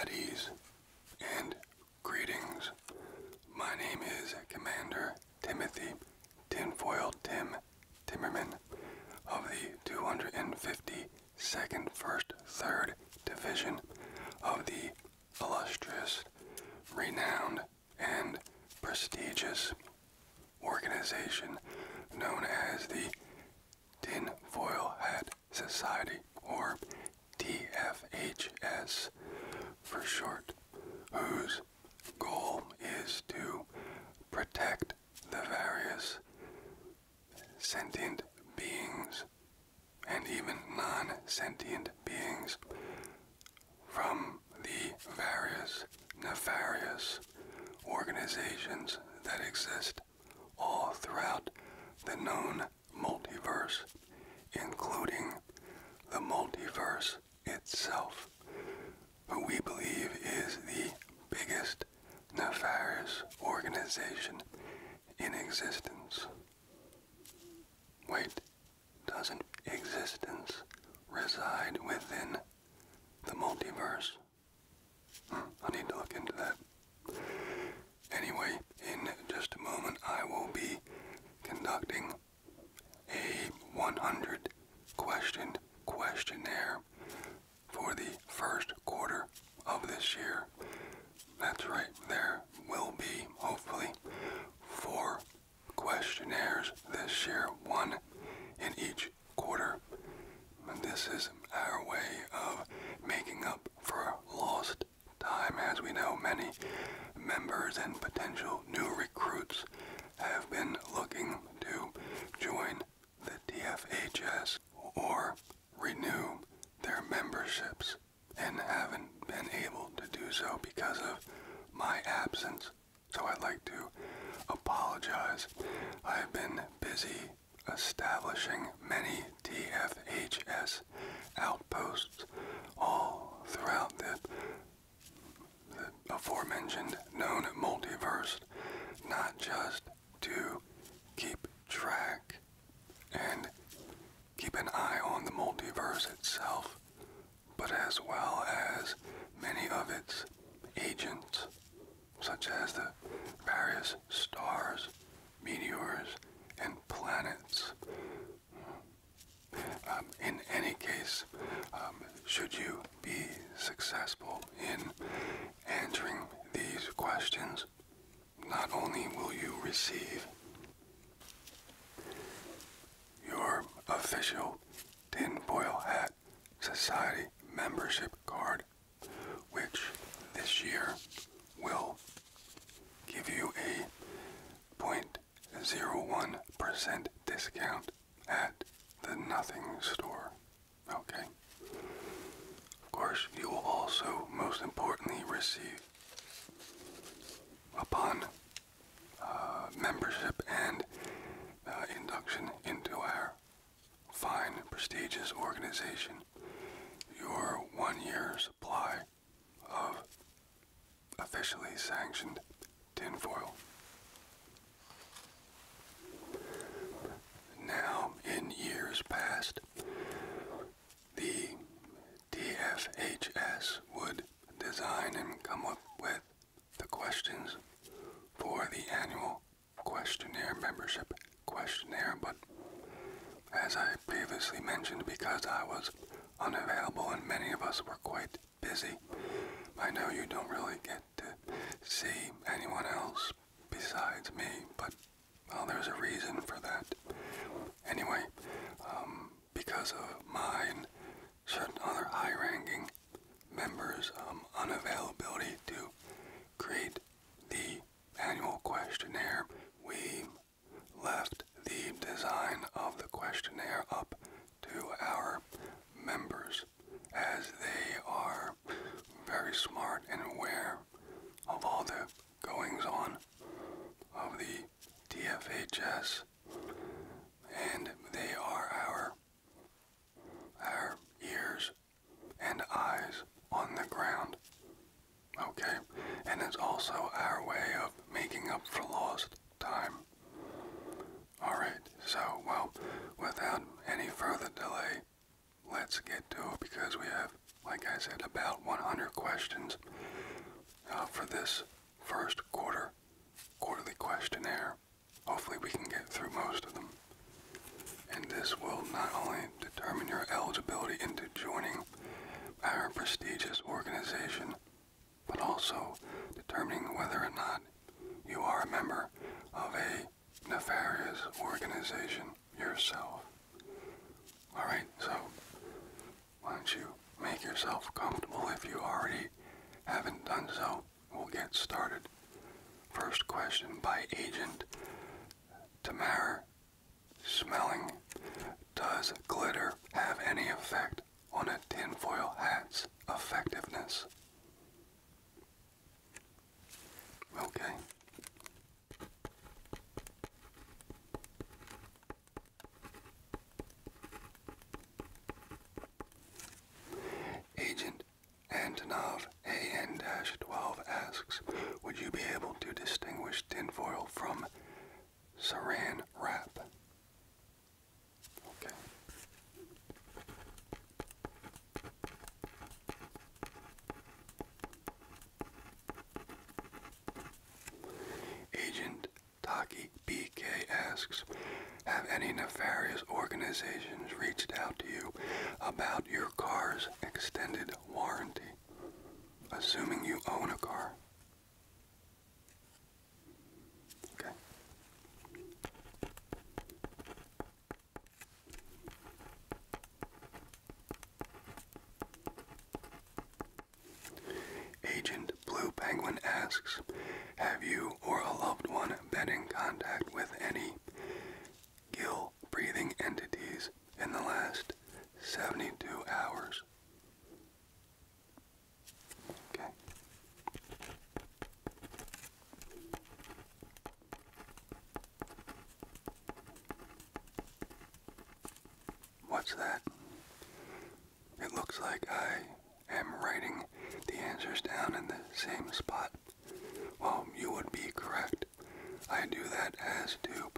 At ease and greetings. My name is Commander Timothy Tinfoil Tim Timmerman of the 252nd First Third Division of the illustrious, renowned and prestigious organization known as the Tin Foil Hat Society, or TFHS for short, whose goal is to protect the various sentient beings and even non sentient beings from the various nefarious organizations that exist all throughout the known multiverse, including the multiverse itself, who we believe is the biggest nefarious organization in existence. Wait, doesn't existence reside within the multiverse. I need to look into that. Anyway, in just a moment, I will be conducting a 100 question questionnaire for the first quarter of this year. That's right, there will be, hopefully, four questionnaires this year, one in each quarter. this is our way of making up for lost time. As we know, many members and potential new recruits have been looking to join the TFHS or renew their memberships and haven't been able to do so because of my absence so I'd like to apologize. I have been busy establishing many TFHS outposts all throughout the, the aforementioned known multiverse, not just to keep track and keep an eye on the multiverse itself, but as well as many of its agents, such as the various stars, meteors, and planets. Um, in any case, um, should you be successful in answering these questions, not only will you receive your official tin foil hat, Society membership card, which this year will give you a 0.01% discount at the Nothing store. Okay. Of course, you will also, most importantly, receive upon uh, membership and uh, induction into our fine, prestigious organization, your one year supply of officially sanctioned tinfoil. Now, in years past, the DFHS would design and come up with the questions for the annual questionnaire membership questionnaire, but as I previously mentioned, because I was unavailable and many of us were quite busy, I know you don't really get to see anyone else besides me, but well, there's a reason for that. Anyway, um, because of mine certain other high-ranking members' um, unavailability to create the annual questionnaire, we left the design of the questionnaire up to our members as they are very smart and aware of all the goings on of the TFHS and they are our our ears and eyes on the ground. Okay? And it's also our way of making up for lost time. Alright, so, well, without any further delay, let's get to it because we have, like I said, about 100 questions uh, for this first quarter quarterly questionnaire. Hopefully we can get through most of them. And this will not only determine your eligibility into joining our prestigious organization, but also determining whether or not you are a member of a nefarious organization yourself. Alright, so why don't you make yourself comfortable if you already haven't done so we'll get started. First question by Agent Tamara Smelling. Does glitter have any effect on a tinfoil hat's effectiveness? Okay. Agent Antonov AN-12 asks, would you be able to distinguish tinfoil from saran wrap? Okay. Agent Taki BK asks, have any nefarious organizations reached out to you about your car's extended warranty? Assuming you own a car. Okay. Agent Blue Penguin asks, have you or a loved one been in contact with any gill breathing entities in the last 72 hours. Okay. What's that? It looks like I am writing the answers down in the same spot well, um, you would be correct. I do that as to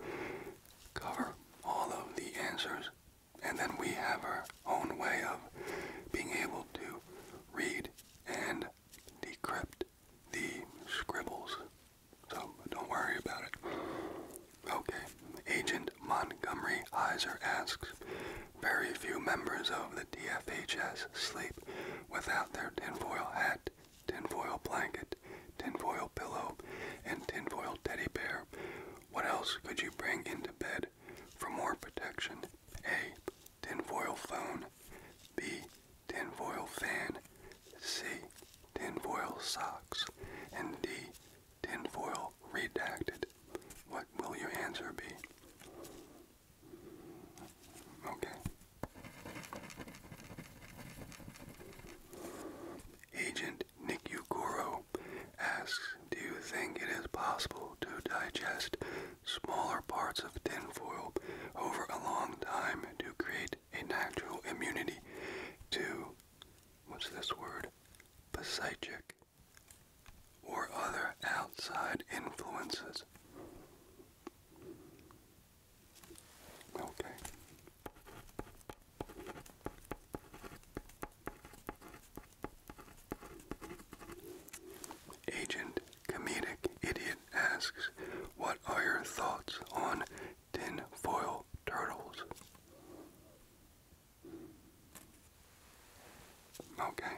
cover all of the answers, and then we have our own way of being able to read and decrypt the scribbles. So don't worry about it. Okay, Agent Montgomery Heiser asks, very few members of the DFHS sleep without their tinfoil hat, tinfoil blanket, tinfoil pillow, and tinfoil teddy bear. What else could you bring into bed for more protection? A. Tinfoil phone. B. Tinfoil fan. C. Tinfoil socks. And D. Tinfoil redacted. What will your answer be? Okay. Agent Nikugoro asks, do you think it is possible to digest smaller parts of tinfoil over a long time to create a natural immunity to, what's this word, psychic or other outside influences? Okay. Agent Comedic Idiot asks, What are your thoughts on tin foil turtles? Okay.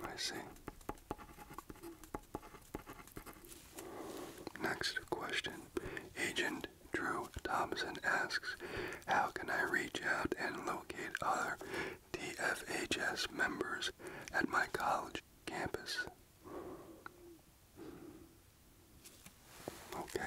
I see. Next question. Agent Drew Thompson asks, How can I reach out and locate other DFHS members at my college campus? Okay.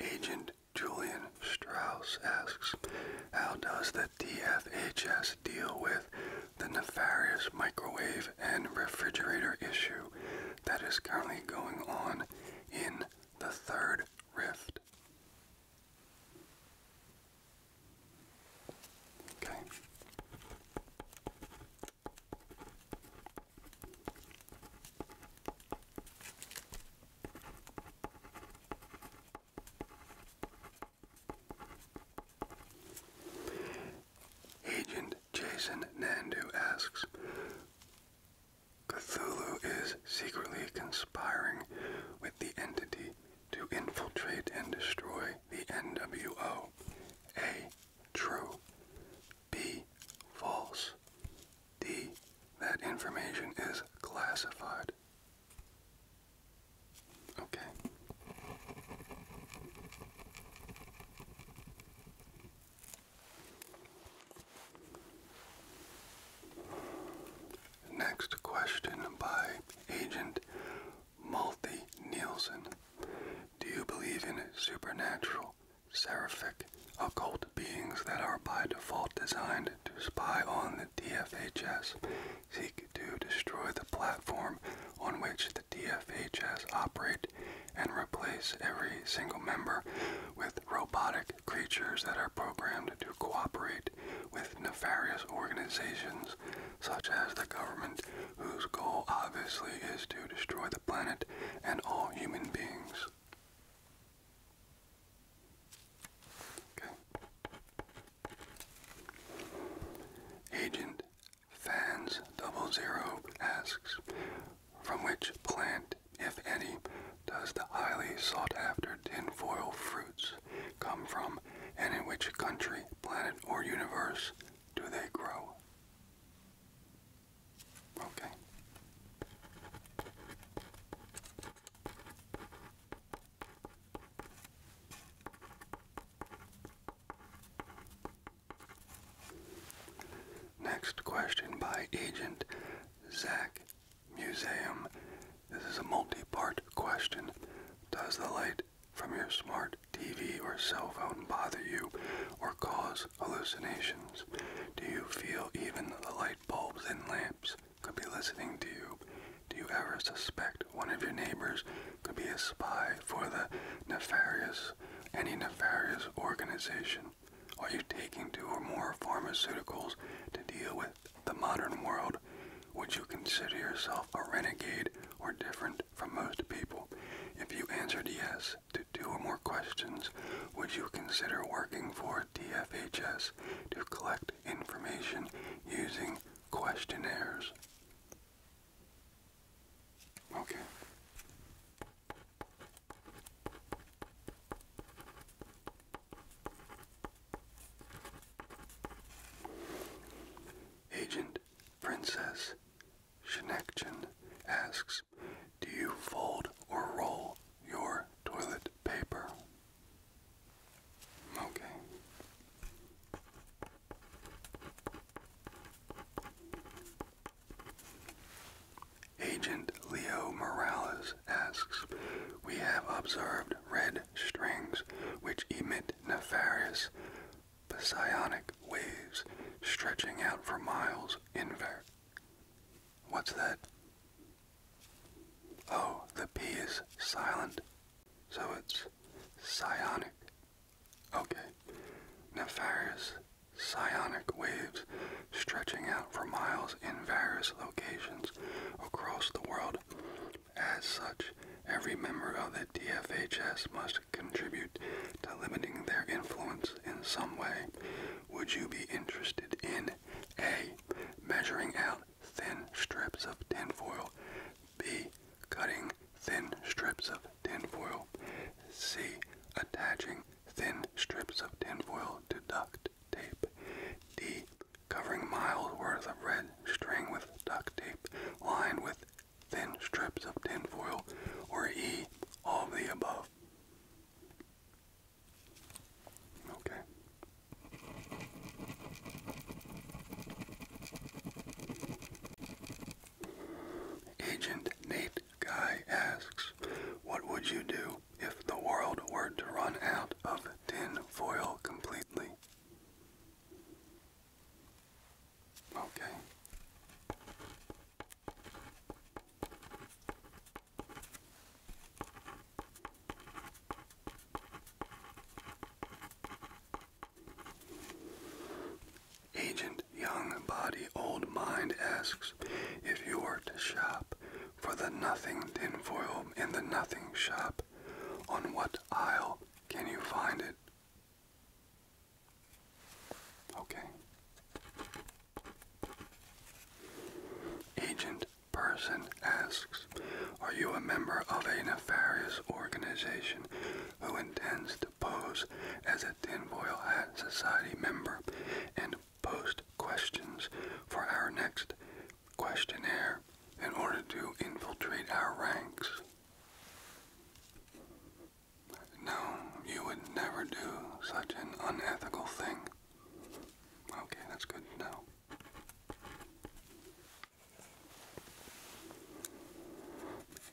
Agent Julian Strauss asks, how does the DFHS deal with the nefarious microwave and refrigerator issue that is currently going on in the third rift. Okay. Agent Jason Nandu asks, Cthulhu is secretly conspiring with the entity to infiltrate and destroy the NWO. A. True. B. False. D. That information is classified. Okay. Next question by Agent Malthy Nielsen. Do you believe in supernatural, seraphic, occult beings that are by default designed to spy on the DFHS, seek to destroy the platform on which the DFHS operate, and replace every single member with robotic creatures that are programmed? to cooperate with nefarious organizations such as the government, whose goal obviously is to destroy the planet and all human beings. Agent Fans00 asks, from which plant if any, does the highly sought after tinfoil fruits come from, and in which country, planet, or universe do they grow? Okay. Next question by Agent Zach Museum. This is a multi-part question. Does the light from your smart TV or cell phone bother you or cause hallucinations? Do you feel even the light bulbs in lamps could be listening to you? Do you ever suspect one of your neighbors could be a spy for the nefarious, any nefarious organization? Are you taking two or more pharmaceuticals to deal with the modern world? Would you consider yourself a renegade or different from most people? If you answered yes to two or more questions, would you consider working for DFHS to collect information using questionnaires? Okay. Agent Princess Shinekchin asks, do you fold or roll your toilet paper? Okay. Agent Leo Morales asks, We have observed red strings which emit nefarious psionic waves stretching out for miles inver. What's that? Oh, the P is silent, so it's psionic. Okay. Nefarious psionic waves stretching out for miles in various locations across the world. As such, every member of the DFHS must contribute to limiting their influence in some way. Would you be interested in A. Measuring out thin strips of tinfoil, B. Cutting thin strips of tinfoil, C. Attaching thin strips of tinfoil to duct, tape. D. Covering miles worth of red string with duct tape lined with thin strips of tinfoil. Or E. All of the above. Okay. Agent Nate Guy asks, What would you do if the world were to run out of tin foil completely? Okay. Agent Young Body Old Mind asks if you were to shop for the nothing tin foil in the nothing shop. On what aisle can you find it? Okay. Agent person asks, Are you a member of a nefarious organization who intends to pose as a tin foil hat society member post questions for our next questionnaire in order to infiltrate our ranks. No, you would never do such an unethical thing. Okay, that's good to know.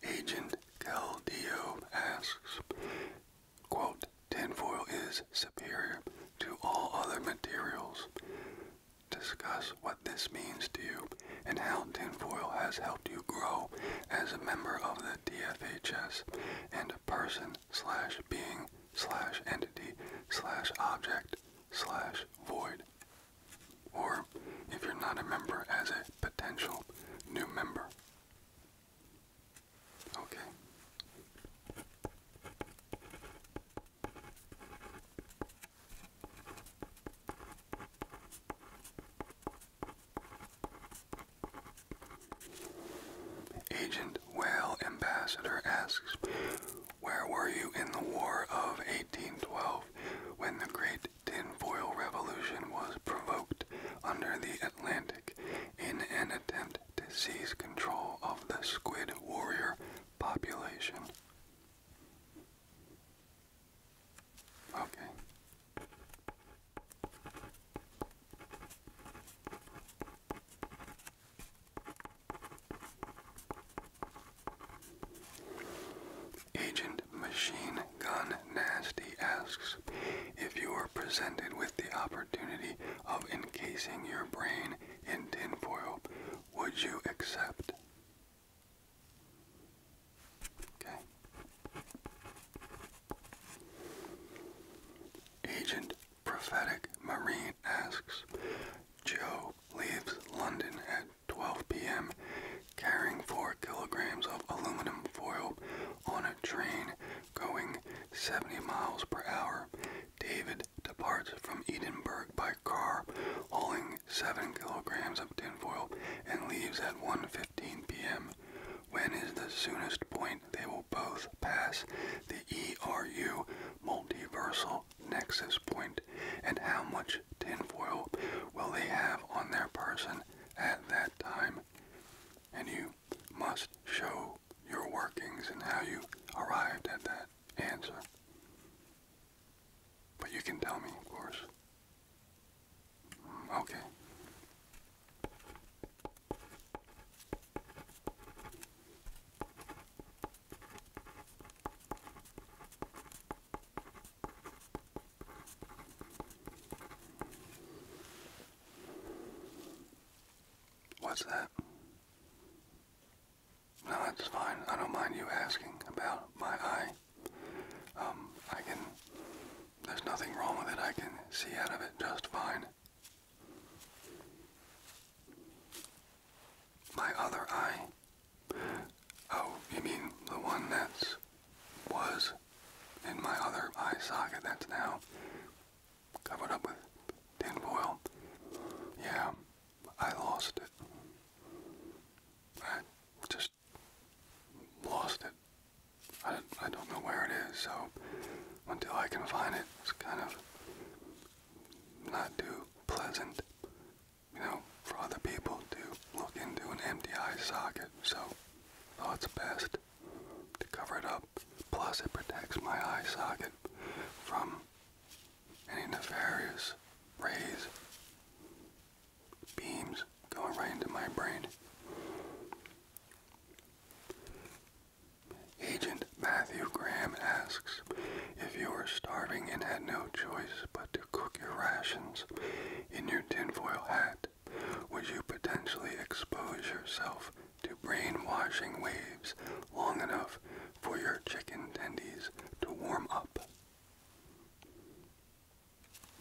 Agent Caldio asks, quote, Tin foil is superior to all other materials. Discuss what this means to you and how tin foil has helped you grow as a member of the DFHS and person slash being slash entity slash object slash void. Or if you're not a member as a potential new member. Okay. Agent Whale Ambassador asks, Where were you in the War of 1812 when the Great Tin Foil Revolution was provoked under the Atlantic in an attempt disease control of the squid warrior population. Okay. Agent Machine Gun Nasty asks if you were presented with the opportunity of encasing your brain in tin foil, would you accept? Okay. Agent Prophetic Marine asks, Joe leaves London at 12 p.m. carrying 4 kilograms of aluminum foil on a train going 70 miles per hour David departs from Edinburgh by car, hauling 7 kilograms of tinfoil, and leaves at 1.15 p.m. When is the soonest point they will both pass the ERU multiversal nexus point, and how much tinfoil will they have on their person at that time? And you must show your workings and how you arrived at that answer. But you can tell me, of course. Mm, okay. What's that? No, that's fine. I don't mind you asking about my eye. Um, I can. There's nothing wrong with it. I can see out of it just fine. My other eye? Oh, you mean the one that's. was in my other eye socket that's now covered up with tin foil. Yeah, I lost it. I just lost it. I, I don't know where it is, so until I can find it, it's kind of not too pleasant, you know, for other people to look into an empty eye socket. So, thought oh, it's best to cover it up. Plus, it protects my eye socket from any nefarious rays, beams going right into my brain. Agent Matthew Graham asks if you were starving and had no choice but to cook your rations in your tin foil hat, would you potentially expose yourself to brainwashing waves long enough for your chicken tendies to warm up.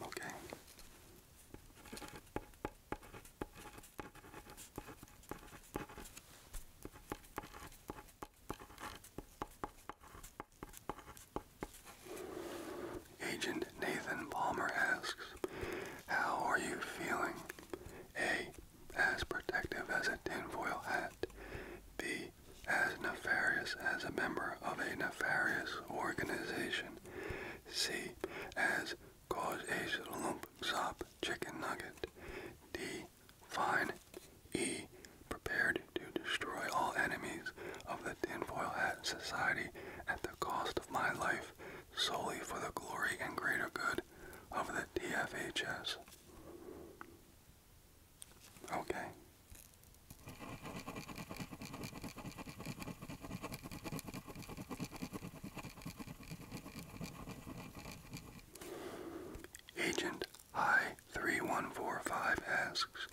Okay. Agent Nathan Palmer asks, How are you feeling? A as protective as a tin foil hat, b. as nefarious as a member of a nefarious organization, c. as cause a lump sop chicken nugget, d. fine, e. prepared to destroy all enemies of the tin foil hat society at the cost of my life solely for the glory and greater good of the TFHS. Okay. Agent I3145 asks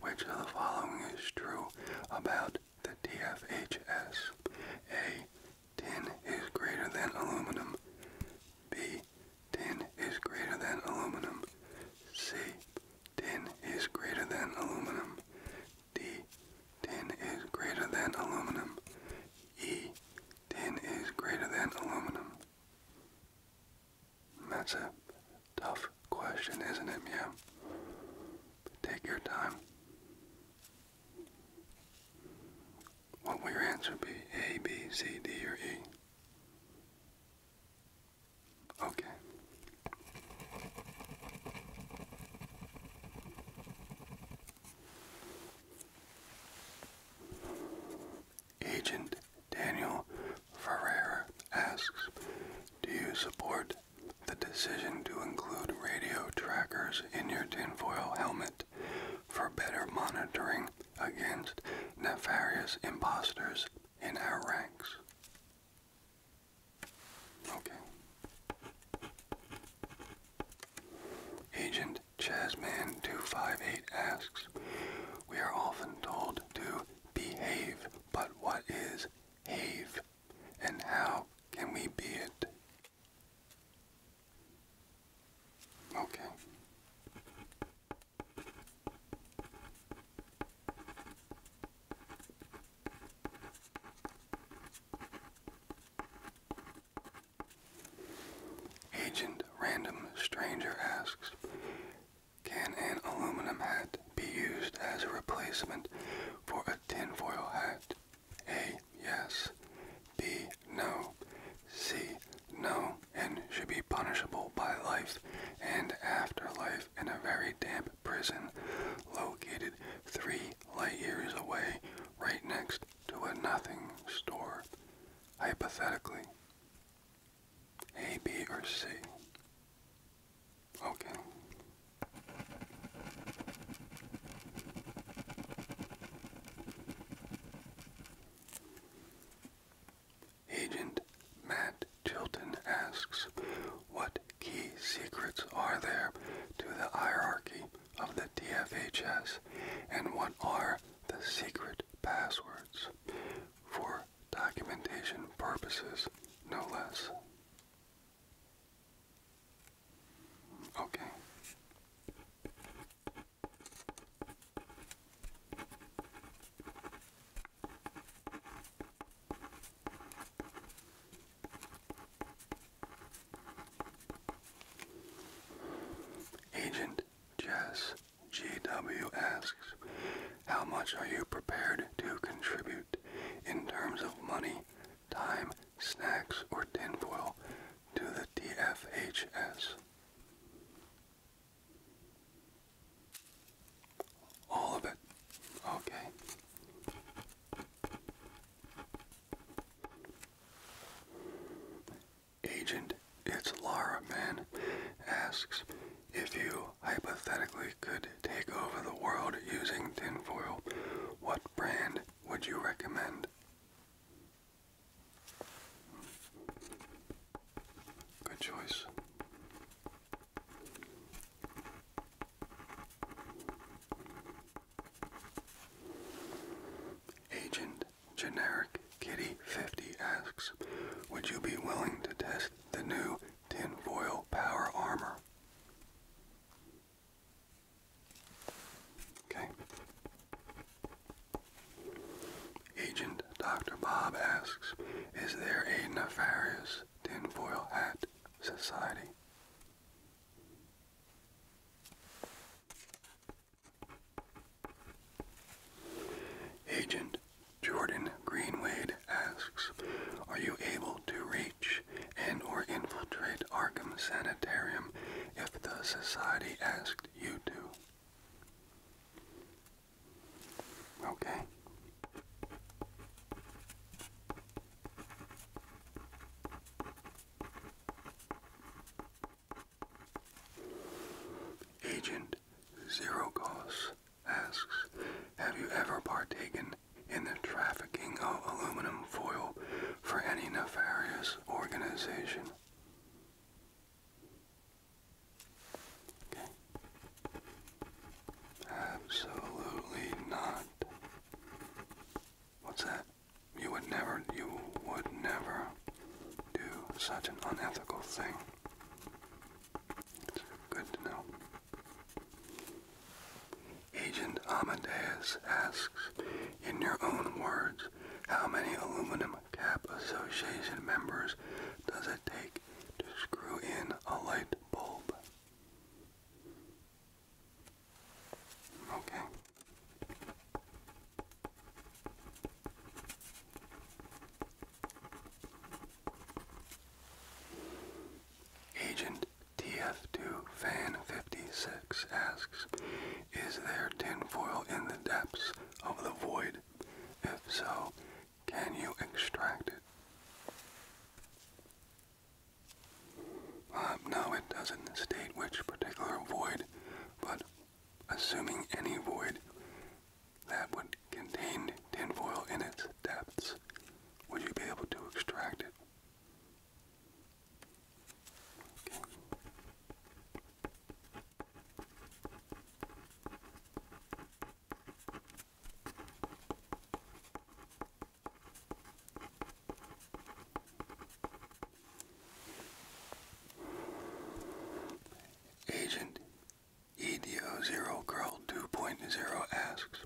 which of the following is true about the DFHS? A. Ten is greater than aluminum. B. Tin is greater than aluminum. C. Tin is greater than aluminum. D. Tin is greater than aluminum. E. Tin is greater than aluminum. That's a tough question, isn't it, Meow? Take your time. What will your answer be? A, B, C, D, or E? Okay. Agent Daniel Ferrer asks, do you support the decision to include radio trackers in your tinfoil helmet for better monitoring against nefarious impostors in our ranks. Okay. Agent Chasman258 asks, We are often told to behave, but what is and how can we be it? Okay. Agent Random Stranger asks, can an aluminum hat be used as a replacement for a tinfoil hat? A. Yes. B. No. C. No, and should be punishable by life and afterlife in a very damp prison located three light years away, right next to a nothing store. Hypothetically, A, B, or C. Okay. Agent Matt Chilton asks, What key secrets are there to the hierarchy of the DFHS, and what are the secret passwords? For documentation purposes, no less. Okay. Agent Jess GW asks, How much are you prepared to contribute in terms of money, time, snacks, or tinfoil to the DFHS?" All of it. Okay. Agent, it's Lara Man asks if you hypothetically could take over the world using tinfoil, what brand would you recommend? Good choice. Agent Generic Kitty 50 asks, would you be willing to test the new tinfoil power armor? Okay. Agent Dr. Bob asks, is there a nefarious tinfoil hat society? Agent Jordan Greenwade asks, are you able to reach and or infiltrate Arkham Sanitarium if the society asked you to? Okay. Agent Zero Cost asks, have you ever partaken in the trafficking of aluminum foil for any nefarious organization? Absolutely not. What's that? You would never, you would never do such an unethical thing. good to know. Agent Amadeus asks, in your own words, how many aluminum Cap Association members does it take to screw in a light bulb? Okay. Agent TF2 Fan 56 asks, Is there tinfoil in the depths of the void? If so, can you extract it? Uh, no, it doesn't state which particular void, but assuming any void that would contain tinfoil in its depths, would you be able to extract it? Agent EDO0 Girl 2.0 asks,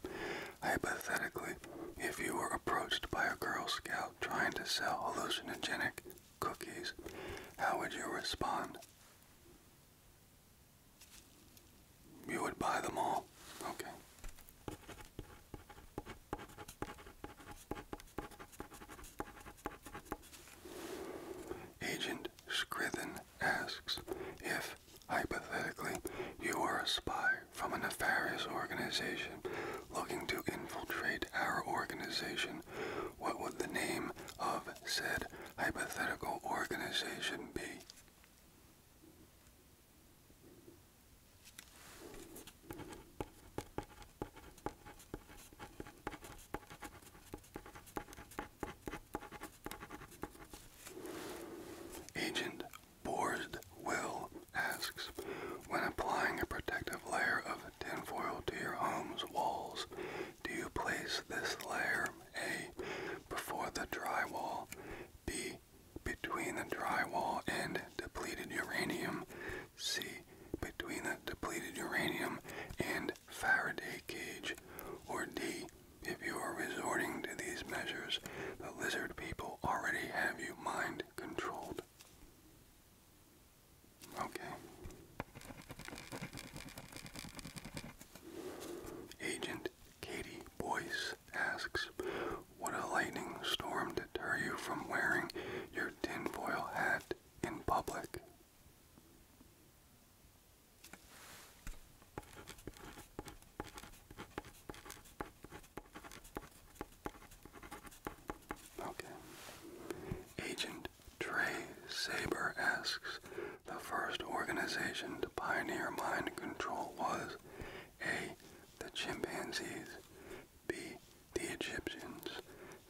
hypothetically, if you were approached by a Girl Scout trying to sell hallucinogenic cookies, how would you respond? You would buy them all? Okay. Agent Scriven asks if, hypothetically, you were a spy from a nefarious organization looking to infiltrate our organization, what would the name of said hypothetical organization B. Agent Borsdwell asks, when applying a protective layer of tinfoil to your home's walls, do you place this layer A before the drywall, B between the drywall and depleted uranium, C between the depleted uranium and Faraday cage, or D if you are resorting to these measures, the lizard people already have you mind controlled. Okay. Agent Katie Boyce asks, "What a lightning storm deter you from wearing your tin foil hat in public? Okay. Agent Trey Saber asks, the first organization to pioneer mind control was A. The chimpanzees, B. The Egyptians,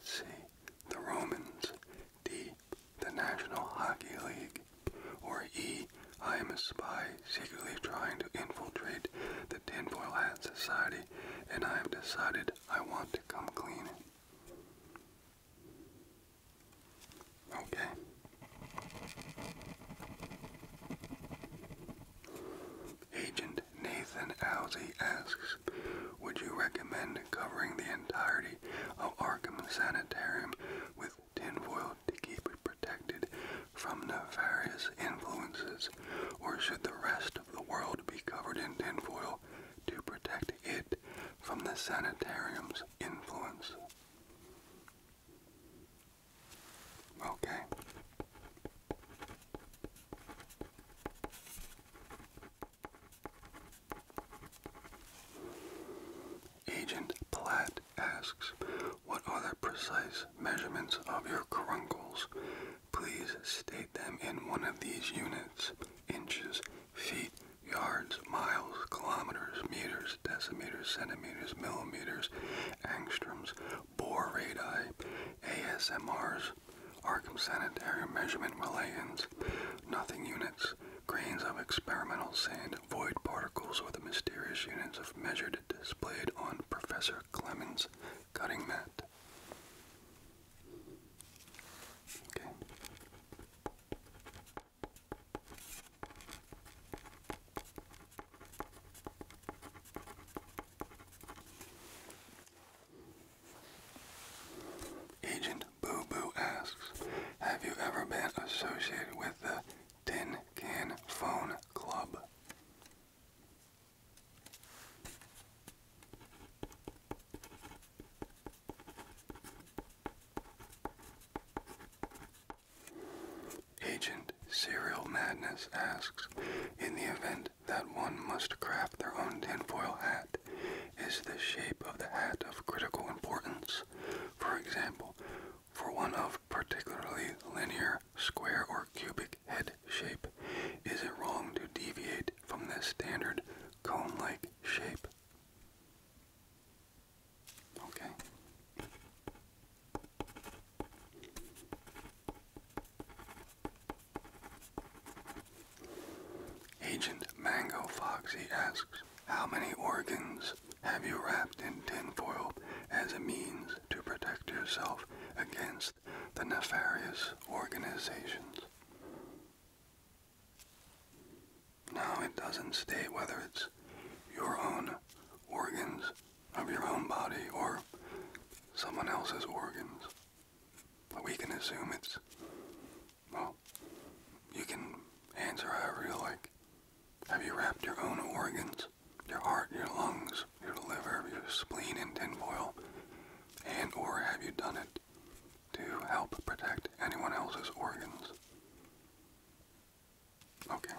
C. The Romans, D. The National Hockey League, or E. I am a spy secretly trying to infiltrate the Tinfoil Hat Society, and I have decided I want to come clean. Agent Nathan Alsey asks, would you recommend covering the entirety of Arkham Sanitarium with tinfoil to keep it protected from nefarious influences, or should the rest of the world be covered in tinfoil to protect it from the sanitarium's influence. Okay. Agent Platt asks, What are the precise measurements of your caruncles? Please state them in one of these units inches, feet, yards, miles, kilometers, meters, decimeters, centimeters, millimeters, angstroms, bore radii, ASMRs, Arkham sanitary measurement relations, nothing units, grains of experimental sand, void particles or the mysterious units of measured displayed on Professor Clemens' cutting mat. Okay. Agent Boo Boo asks, have you ever been associated with the Tin Can Phone Club? Agent Serial Madness asks, in the event that one must craft their own tinfoil hat, is the shape of the hat of critical importance? For example, for one of particularly linear, square, or cubic head shape, is it wrong to deviate from the standard cone-like shape? Okay. Agent Mango Fox. He asks, How many organs have you wrapped in tin foil as a means to protect yourself against the nefarious organizations? Now it doesn't state whether it's your own organs of your own body or someone else's organs. But we can assume it's, well, you can answer however you like. Have you wrapped your own organs, your heart, your lungs, your liver, your spleen in tinfoil, and or have you done it to help protect anyone else's organs. Okay.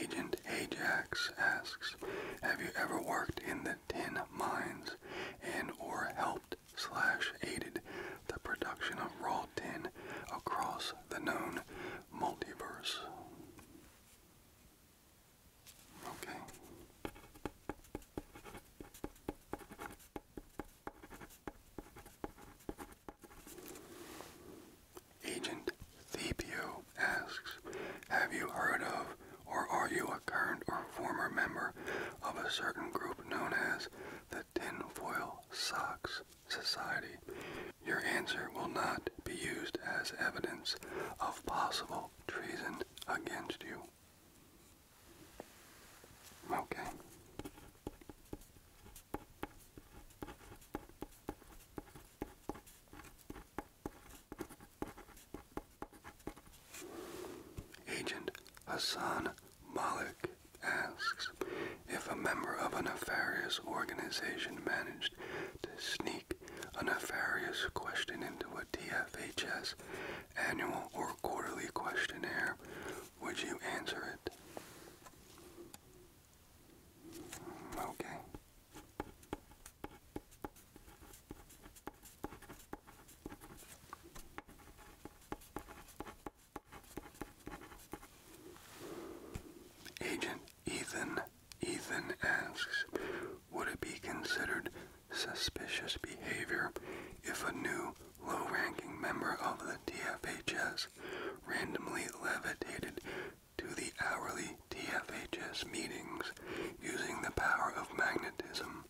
Agent Ajax asks, have you ever worked in the tin mines and or helped slash aided the production of raw tin across the known multiverse. Okay. Agent Thepio asks, have you heard of or are you a current or former member of a certain group known as the Tinfoil Socks Society, your answer will not be used as evidence of possible treason against you. Okay. Agent Hassan Malik asks if a member of a nefarious organization managed to sneak a nefarious question into a TFHS annual or quarterly questionnaire, would you answer it? Okay. Agent Ethan Ethan asks, would it be considered suspicious behavior if a new low-ranking member of the TFHS randomly levitated to the hourly TFHS meetings using the power of magnetism?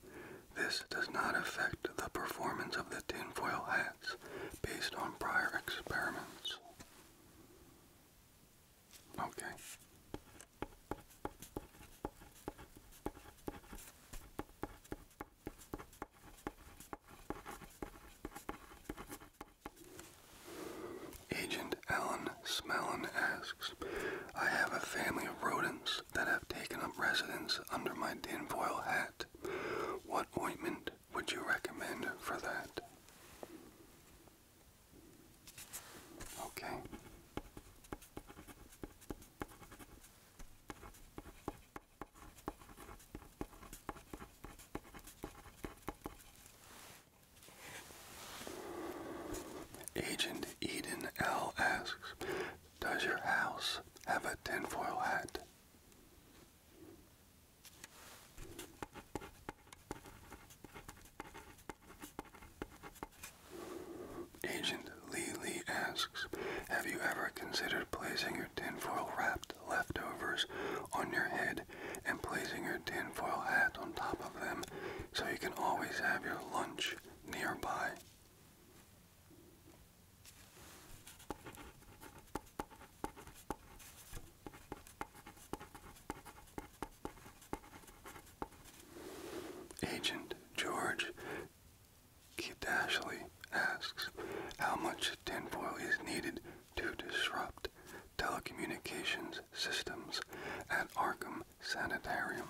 This does not affect the performance of the tinfoil hats based on prior experiments. Okay. Agent Alan Smellin asks, I have a family of rodents that have taken up residence under my tin foil hat. What ointment would you recommend for that? Okay. Agent Eden L asks, does your house have a tinfoil hat? Agent Lee Lee asks, have you ever considered placing your tinfoil wrapped leftovers on your head and placing your tinfoil hat on top of them so you can always have your lunch nearby? Agent George Kidashley asks, how much tin foil is needed to disrupt telecommunications systems at Arkham Sanitarium?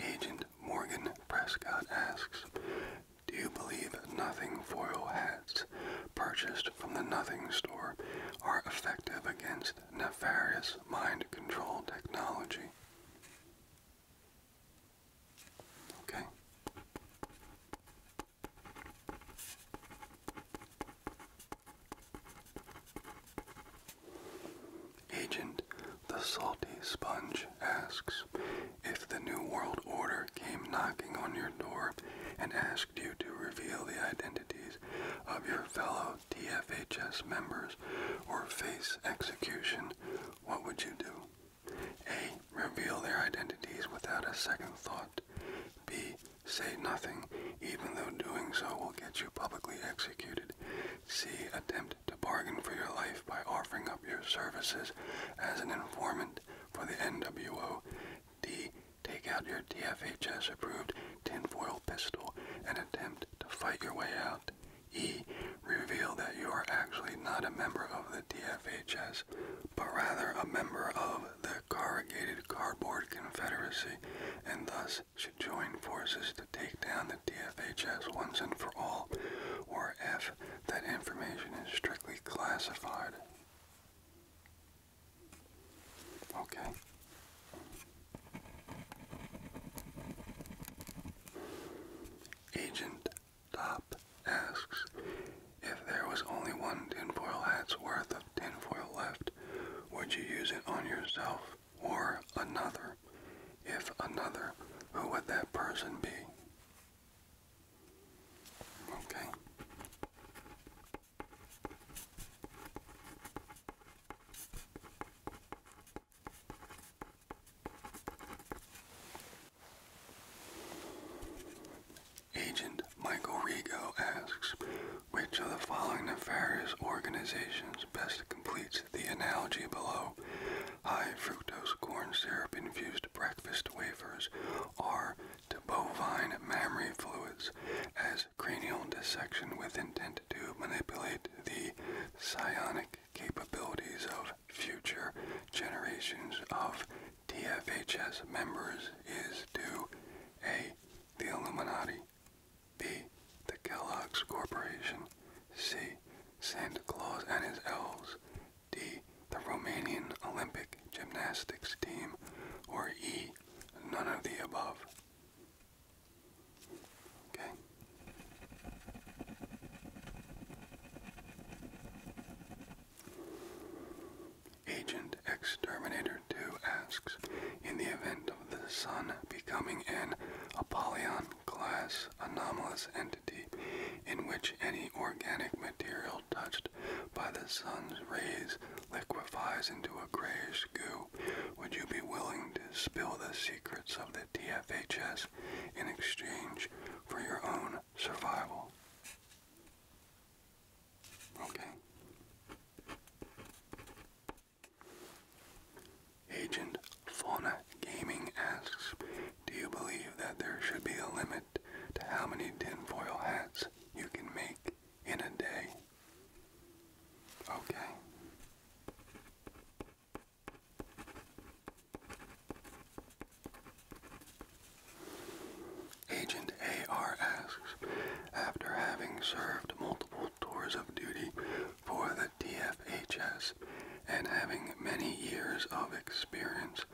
Agent Morgan Prescott asks, Do you believe nothing foil hats purchased from the nothing store are effective against nefarious mind control technology? Okay. Agent the Salty Sponge asks if the New World Order came knocking on your door and asked you to reveal the identities of your fellow DFHS members or face execution, what would you do? A. Reveal their identities without a second thought. B. Say nothing, even though doing so will get you publicly executed. C. Attempt to bargain for your life by offering up your services as an informant for the NWO. D. Take out your dfhs approved tinfoil pistol and attempt to fight your way out. E. Reveal that you are actually not a member of the DFHS, but rather a member of the corrugated cardboard confederacy and thus should join forces to take down the DFHS once and for all, or if that information is strictly classified. Okay. Agent Top asks, if there was only one tinfoil hat's worth of tinfoil left, would you use it on yourself or another? If another, who would that person be? Okay. Agent Michael Rigo asks, which of the following nefarious organizations best completes the analogy below? High fructose corn syrup infused breakfast wafers are to bovine mammary fluids as cranial dissection with intent to manipulate the psionic capabilities of future generations of TFHS members is due, A. The Illuminati, B. The Kellogg's Corporation, C. Santa Claus and his elves, D. The Romanian Olympic Gymnastics Team, or E. None of the above. Okay. Agent Exterminator 2 asks, in the event of the Sun becoming an Apollyon-class anomalous entity in which any organic material touched by the Sun's rays liquefies into a grayish goo, would you be willing to spill the secrets of the TFHS in exchange for your own survival? Okay. Agent Fauna Gaming asks, do you believe that there should be a limit to how many tinfoil hats you can make in a day? Okay. Agent AR asks, after having served multiple tours of duty for the TFHS and having many years of experience,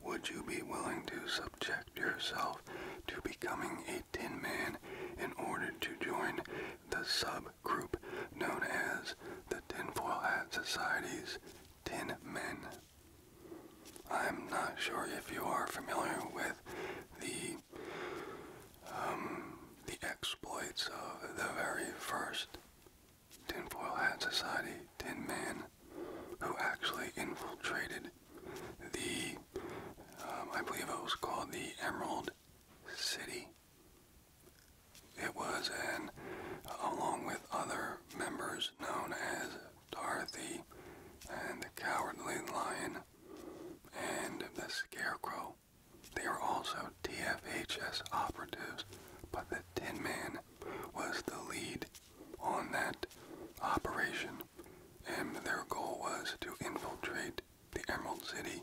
would you be willing to subject yourself to becoming a tin man in order to join the subgroup known as the Tin Foil Hat Society's Tin Men? I'm not sure if you are familiar with the um, the exploits of the very first tinfoil hat society tin man who actually infiltrated the um, I believe it was called the Emerald City. It was an along with other members known as Dorothy, and the Cowardly Lion, and the Scarecrow. They were also TFHS operatives, but the Tin Man was the lead on that operation, and their goal was to infiltrate the Emerald City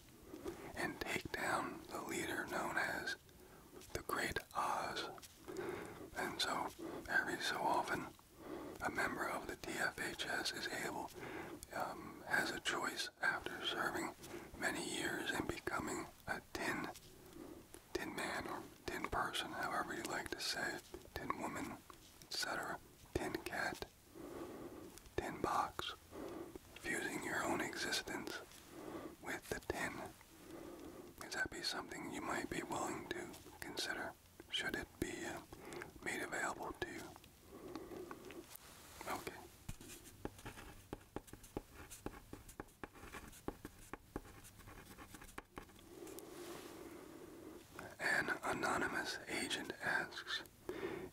and take down the leader known as the Great Oz. And so, every so often, a member of the DFHS is able, um, has a choice after serving many years and becoming a tin, tin man or tin person, however you like to say it, tin woman, etc., tin cat, tin box, fusing your own existence with the tin. Could that be something you might be willing to consider? should it be uh, made available to you. Okay. An anonymous agent asks,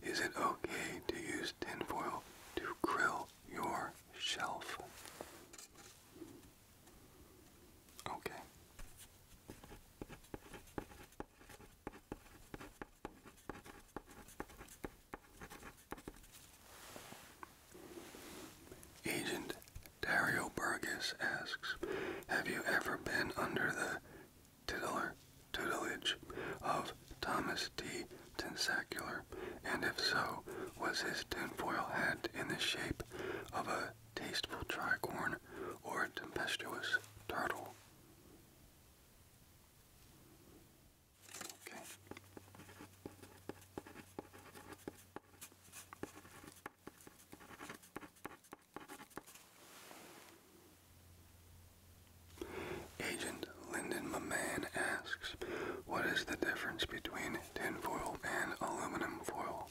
is it okay to use tinfoil to grill your shelf? Okay. Agent Dario Burgess asks, have you ever been under the titular tutelage of Thomas D. Tensacular? And if so, was his tinfoil hat in the shape of a tasteful tricorn, or tempestuous turtle. Agent Lyndon McMahon asks, what is the difference between tin foil and aluminum foil?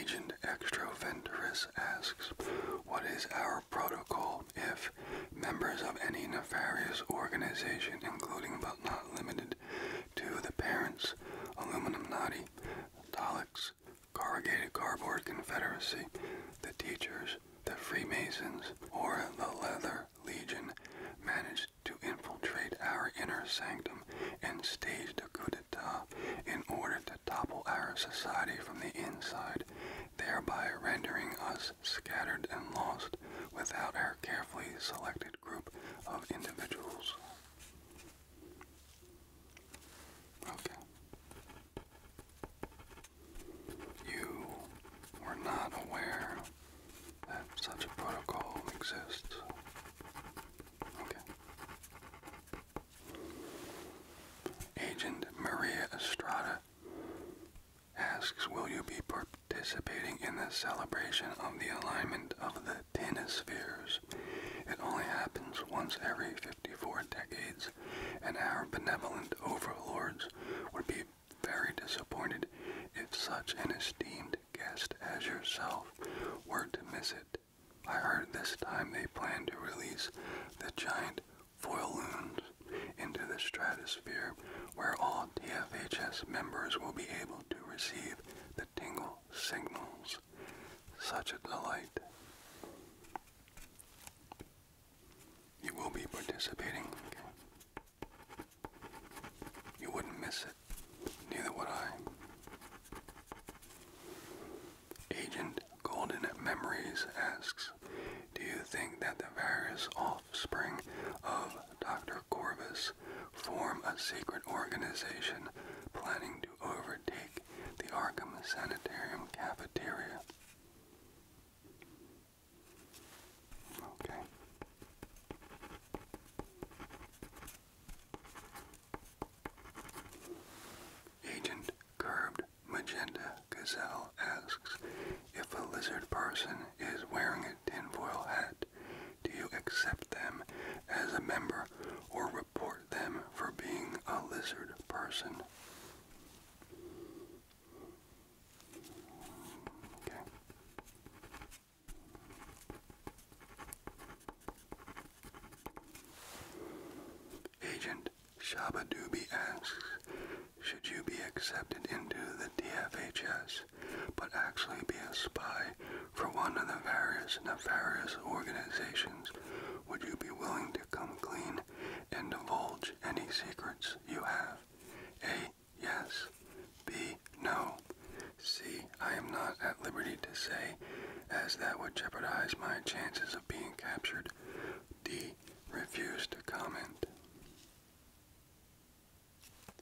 Agent Extroventurus asks, What is our protocol if members of any nefarious organization, including but not limited to the parents, aluminum naughty, Daleks, Corrugated Cardboard Confederacy, the teachers, the Freemasons, or the Leather Legion managed to infiltrate our inner sanctum and staged a coup d'etat in order to topple our society from the inside, thereby rendering us scattered and lost without our carefully selected group of individuals. Okay. You were not aware that such a protocol exists. Okay. Agent Maria Estrada asks, will you be participating in the celebration of the alignment of the Tinospheres? It only happens once every 54 decades, and our benevolent overlords would be very disappointed if such an esteemed guest as yourself were to miss it. I heard this time they plan to release the giant foiloons into the stratosphere where all TFHS members will be able to receive the tingle signals. Such a delight. You will be participating. You wouldn't miss it. Neither would I. Agent Golden Memories asks, do you think that the various offspring of Dr. Corvus form a secret organization planning to overtake the Arkham Sanitarium cafeteria. Okay. Agent Curbed Magenta Gazelle asks if a lizard person is wearing tinfoil hat. Do you accept them as a member or report them for being a lizard person? Okay. Agent Shabadoobie asks, should you be accepted into the DFHS, but actually be a spy for one of the various nefarious organizations, would you be willing to come clean and divulge any secrets you have? A. Yes. B. No. C. I am not at liberty to say, as that would jeopardize my chances of being captured. D. Refuse to comment.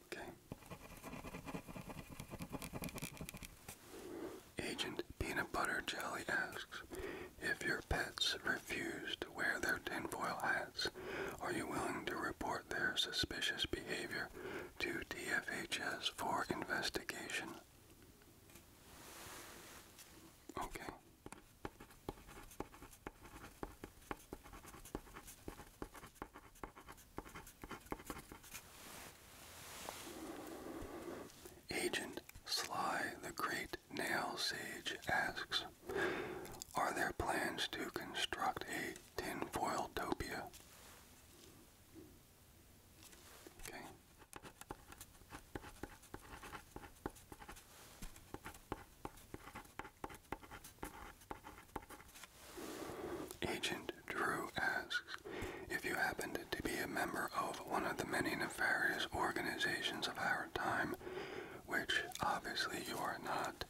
Okay. Agent Peanut Butter Jelly asks if your pets refuse to wear their tin foil hats, are you willing to report their suspicious behavior to DFHS for investigation? Okay. Agent Sly the Great Nail Sage asks, Are there plans to construct a tinfoil topia? Agent Drew asks, if you happened to be a member of one of the many nefarious organizations of our time, which obviously you are not,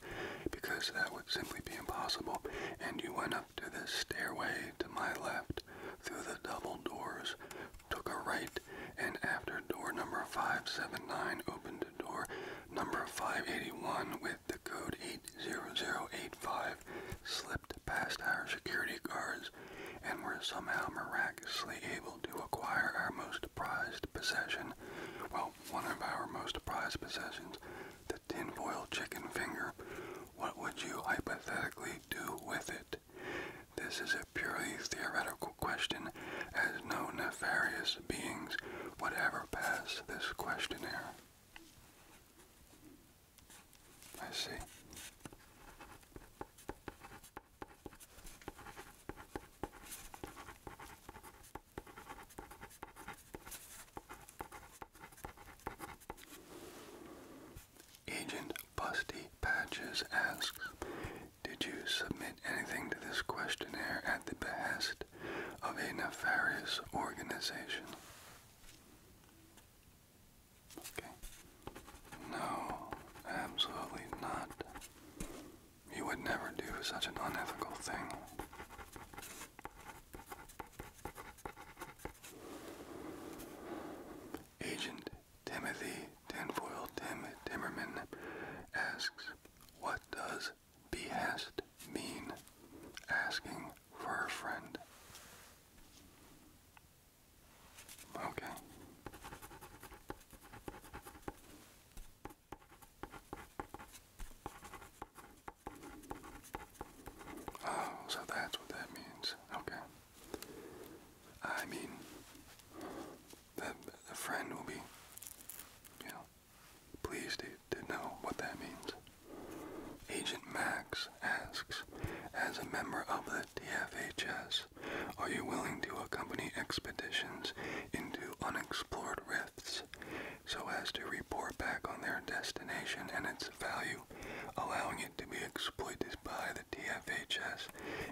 because that would simply be impossible, and you went up to this stairway to my left, through the double doors, took a right, and after door number 579 opened to door number 581 with the code 80085 slipped past our security guards and were somehow miraculously able to acquire our most prized possession. Well, one of our most prized possessions, the tinfoil chicken finger. What would you hypothetically do with it? This is a purely theoretical question, as no nefarious beings would pass this questionnaire. I see. Agent Busty Patches asks, Did you submit anything to this questionnaire at the behest of a nefarious organization. Okay. No, absolutely not. You would never do such an unethical thing. Agent Timothy Tinfoil Tim Timmerman asks, What does does behest mean? Asking for a friend. Okay. Oh, so that's what that means. Okay. I mean, the, the friend will be, you know, Please do to know what that means. Agent Max asks, as a member of the DFHS, are you willing to accompany expeditions into unexplored rifts so as to report back on their destination and its value, allowing it to be exploited by the DFHS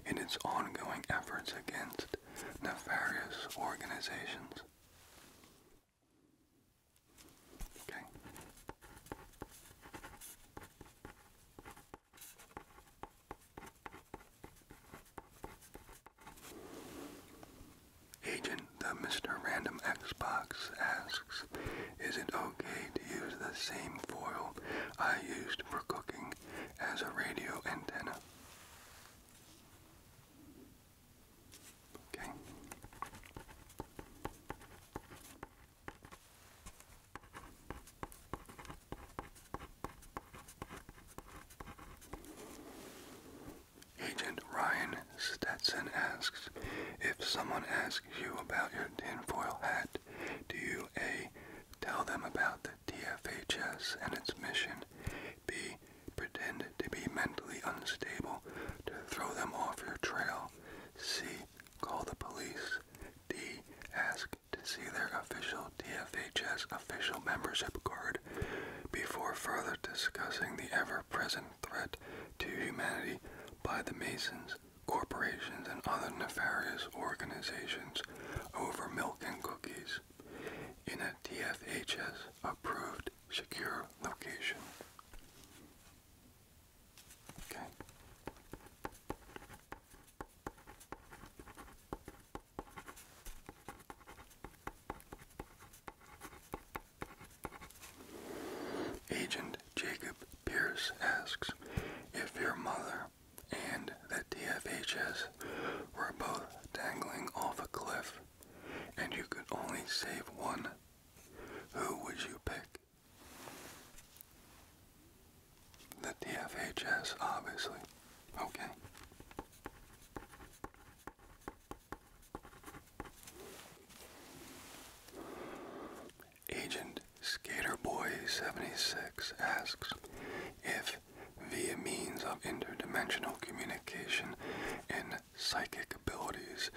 in its ongoing efforts against nefarious organizations? Agent the Mr. Random Xbox asks, is it okay to use the same foil I used for cooking as a radio antenna? Agent Ryan Stetson asks, if someone asks you about your tinfoil hat, do you A, tell them about the DFHS and its mission, B, pretend to be mentally unstable to throw them off your trail. C. Call the police. D. Ask to see their official DFHS official membership card before further discussing the ever-present threat to humanity by the Masons, corporations, and other nefarious organizations over milk and cookies. In a DFHS-approved secure location. Okay. Agent Jacob Pierce asks if your mother and the DFHS were both dangling off a cliff and you could only save one, who would you pick? The D F H S, obviously. Okay. Agent Skaterboy76 asks if, via means of interdimensional communication and psychic abilities,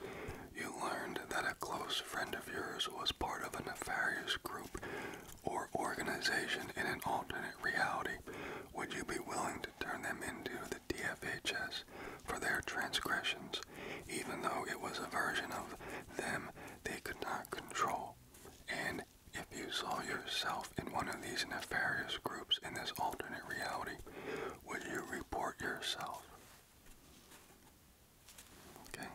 you learned that a close friend of yours was part of a nefarious group or organization in an alternate reality. Would you be willing to turn them into the DFHS for their transgressions, even though it was a version of them they could not control? And if you saw yourself in one of these nefarious groups in this alternate reality, when you report yourself. Okay.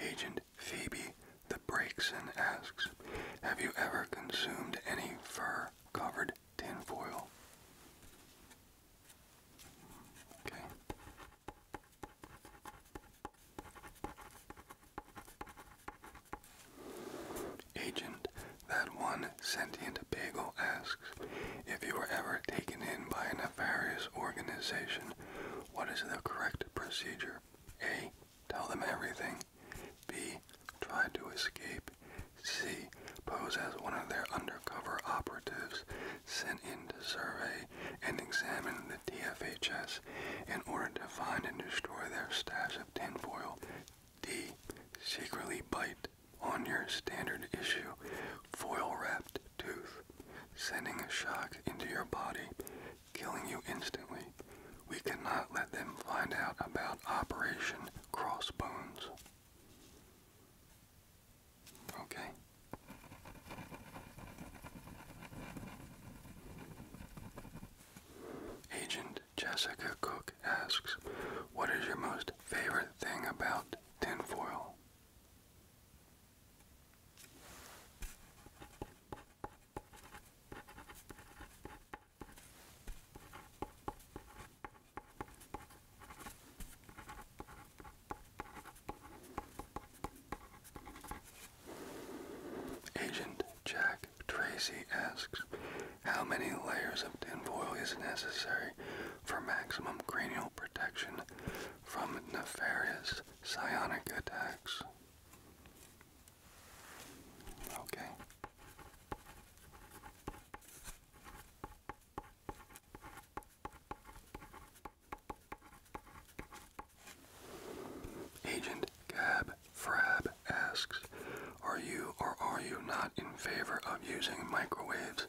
Agent Phoebe the Brakeson asks, Have you ever consumed any fur covered tinfoil? Okay. Agent, that one sentient bagel asks, if you were ever taken in by a nefarious organization, what is the correct procedure? A. Tell them everything. B. Try to escape. C. Pose as one of their undercover operatives sent in to survey and examine the DFHS in order to find and destroy their stash of tinfoil. D. Secretly bite on your standard issue foil wrapped tooth, sending a shock into your body, killing you instantly. We cannot let them find out about Operation Crossbones. Okay. Agent Jessica Cook asks, What is your most favorite thing about tinfoil? Agent Jack Tracy asks, how many layers of tinfoil is necessary for maximum cranial protection from nefarious psionic attacks? Okay. Agent Gab Frab asks, are you or are you not in favor of using microwaves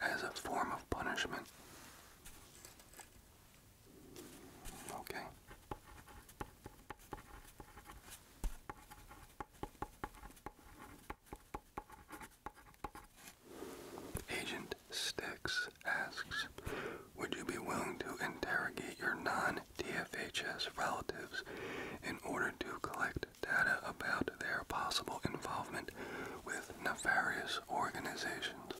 as a form of punishment? Okay. Agent Sticks asks, would you be willing to interrogate your non-DFHS relatives in order to collect data about their possible involvement with nefarious organizations?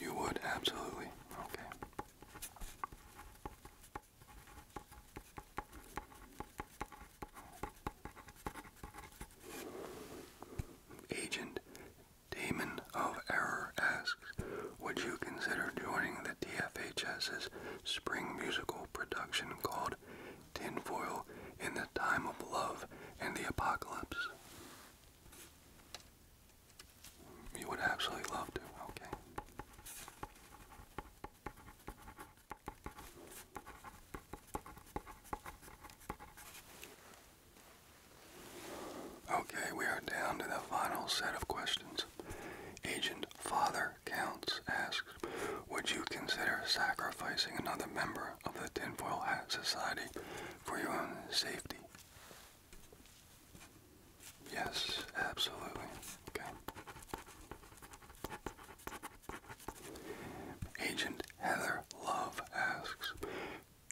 You would, absolutely. Okay. Agent Demon of Error asks, would you consider joining the DFHS's spring musical production called Tinfoil in the Time of Love and the Apocalypse? You would absolutely love to, okay. Okay, we are down to the final set of questions. Agent Father Counts asks, would you consider sacrificing another member of the Tinfoil Hat Society for your own safety? Yes, absolutely. Okay. Agent Heather Love asks,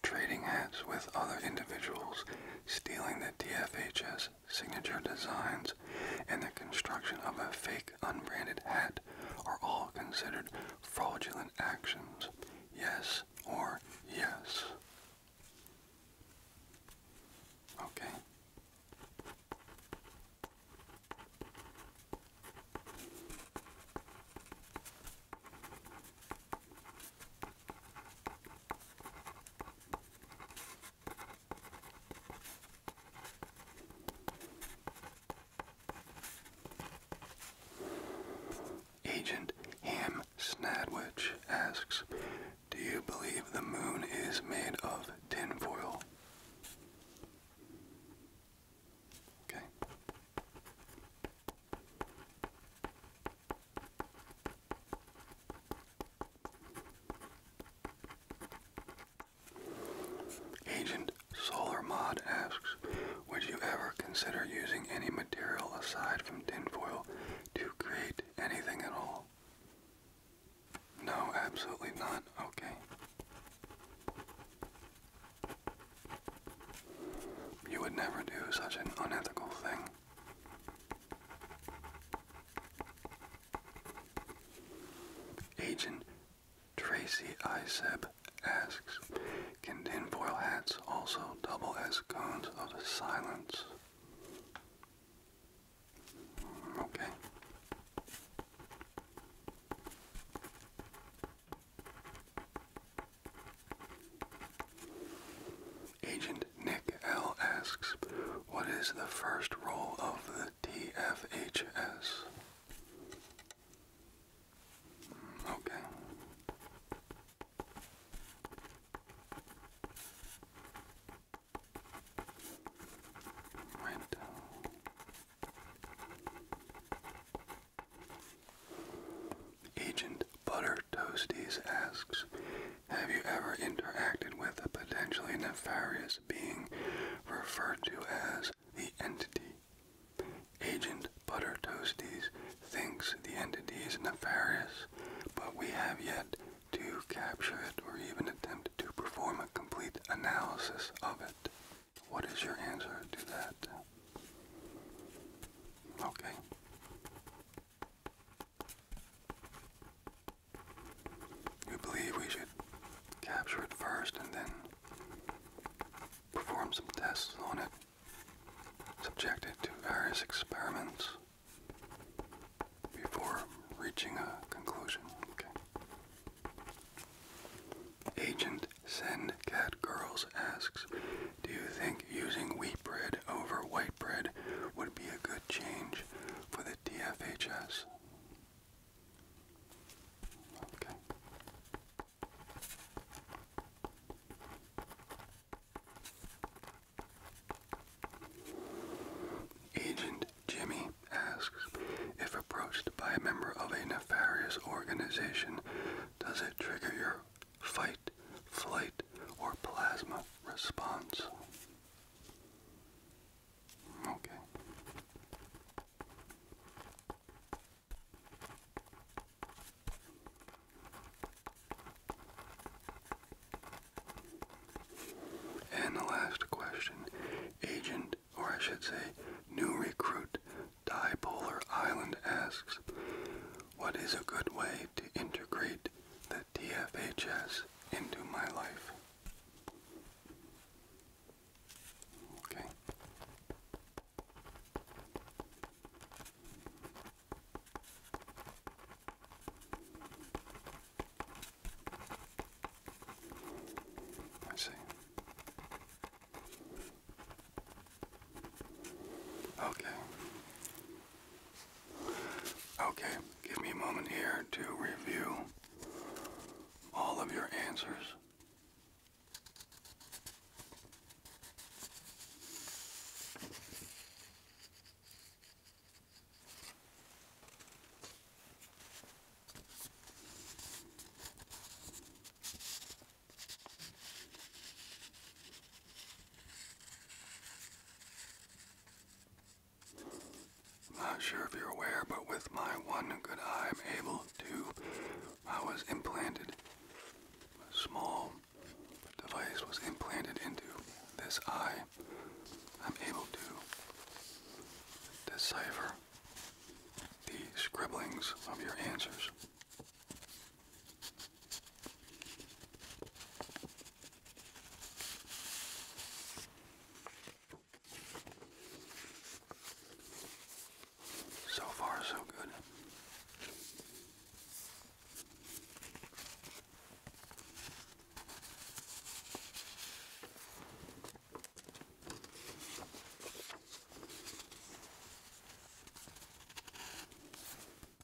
trading hats with other individuals, stealing the DFHS signature designs, and the construction of a fake unbranded hat are all considered fraudulent actions. Yes or yes. Okay. Agent Ham Snadwich asks, Do you believe the moon is made of tinfoil? Okay. Agent SolarMod asks, would you ever consider using any material aside from tin foil to create anything at all? No, absolutely not. Okay. You would never do such an unethical thing. Agent Tracy Iseb asks, can tin foil hats also double as cones of silence? Mm, okay. Agent Nick L. asks, what is the first role of the TFHS? Hmm, okay. Right. Agent Butter Toasties asks, have you ever interacted with a potentially nefarious being referred to as the entity? Agent Butter Toasties thinks the entity is nefarious, but we have yet to capture it or even attempt to perform a complete analysis of it. What is your answer to that? Okay. You believe we should capture it first and then perform some tests on it, subject it to various experiments before reaching a conclusion. Okay. Agent Send Cat asks, do you think using wheat bread over white bread would be a good change for the TFHS? Okay. Agent Jimmy asks, if approached by a member of a nefarious organization, does it trigger your fight, flight, or plasma response. Okay. And the last question, agent, or I should say, new recruit, Dipolar Island asks, what is a good way to integrate the TFHS into my life. Okay. I see. Okay. Okay, give me a moment here to review all of your answers. Not sure if you're aware, but with my one good eye, I'm able to. I was implanted. A small device was implanted into this eye. I'm able to decipher the scribblings of your answers. So far, so good.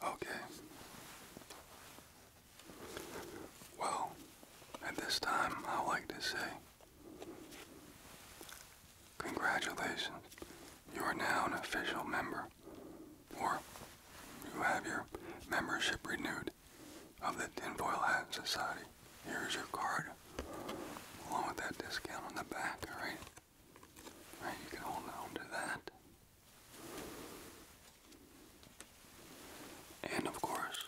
Okay. Well, at this time, I would like to say Congratulations, you are now an official member, or you have your membership renewed of the Tin Foil Hat Society. Here's your card, along with that discount on the back, alright? Alright, you can hold on to that. And of course,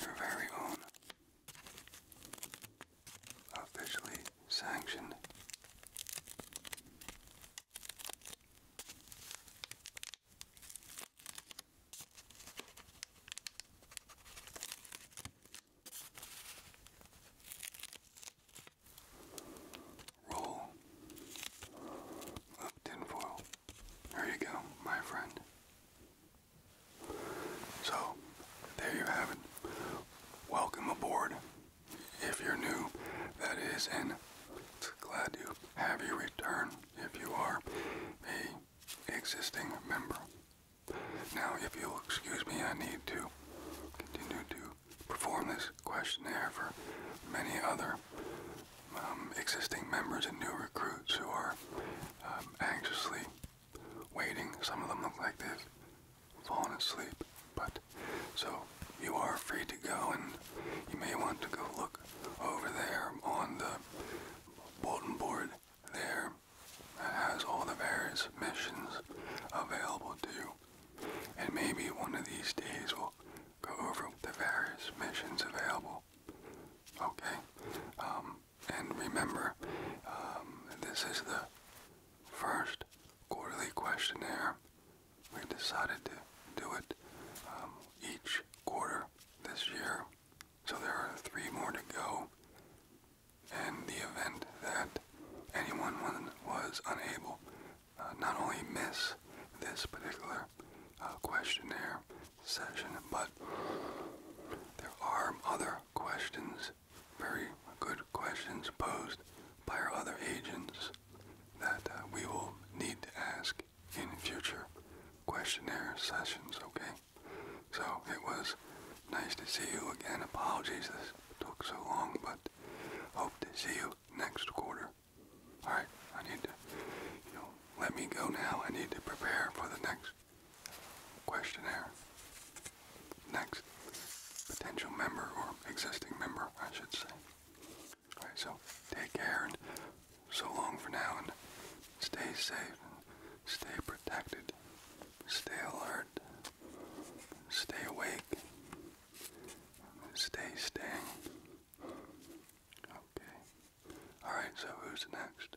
your very own officially sanctioned Roll up tinfoil. There you go, my friend. So, there you have it. Welcome aboard if you're new, that is, and glad to have you return if you are a existing member. Now, if you'll excuse me, I need to continue to perform this questionnaire for many other um, existing members and new recruits who are um, anxiously waiting. Some of them look like this fallen asleep. But so you are free to go, and you may want to go look over there on the bulletin board there that has all the various missions available to you. And maybe one of these days we'll go over the various missions available. Okay? Um, and remember, um, this is the first quarterly questionnaire we decided to do it um, each quarter this year. So there are three more to go. And the event that anyone was unable uh, not only miss this particular uh, questionnaire session, but there are other questions, very good questions posed by our other agents that uh, we will need to ask in future questionnaire sessions, okay? So it was nice to see you again. Apologies this took so long, but hope to see you next quarter. Alright, I need to, let me go now. I need to prepare for the next questionnaire. Next potential member or existing member, I should say. Alright, so take care and so long for now and stay safe and stay protected. Stay alert. Stay awake. Stay staying. Okay. Alright, so who's next?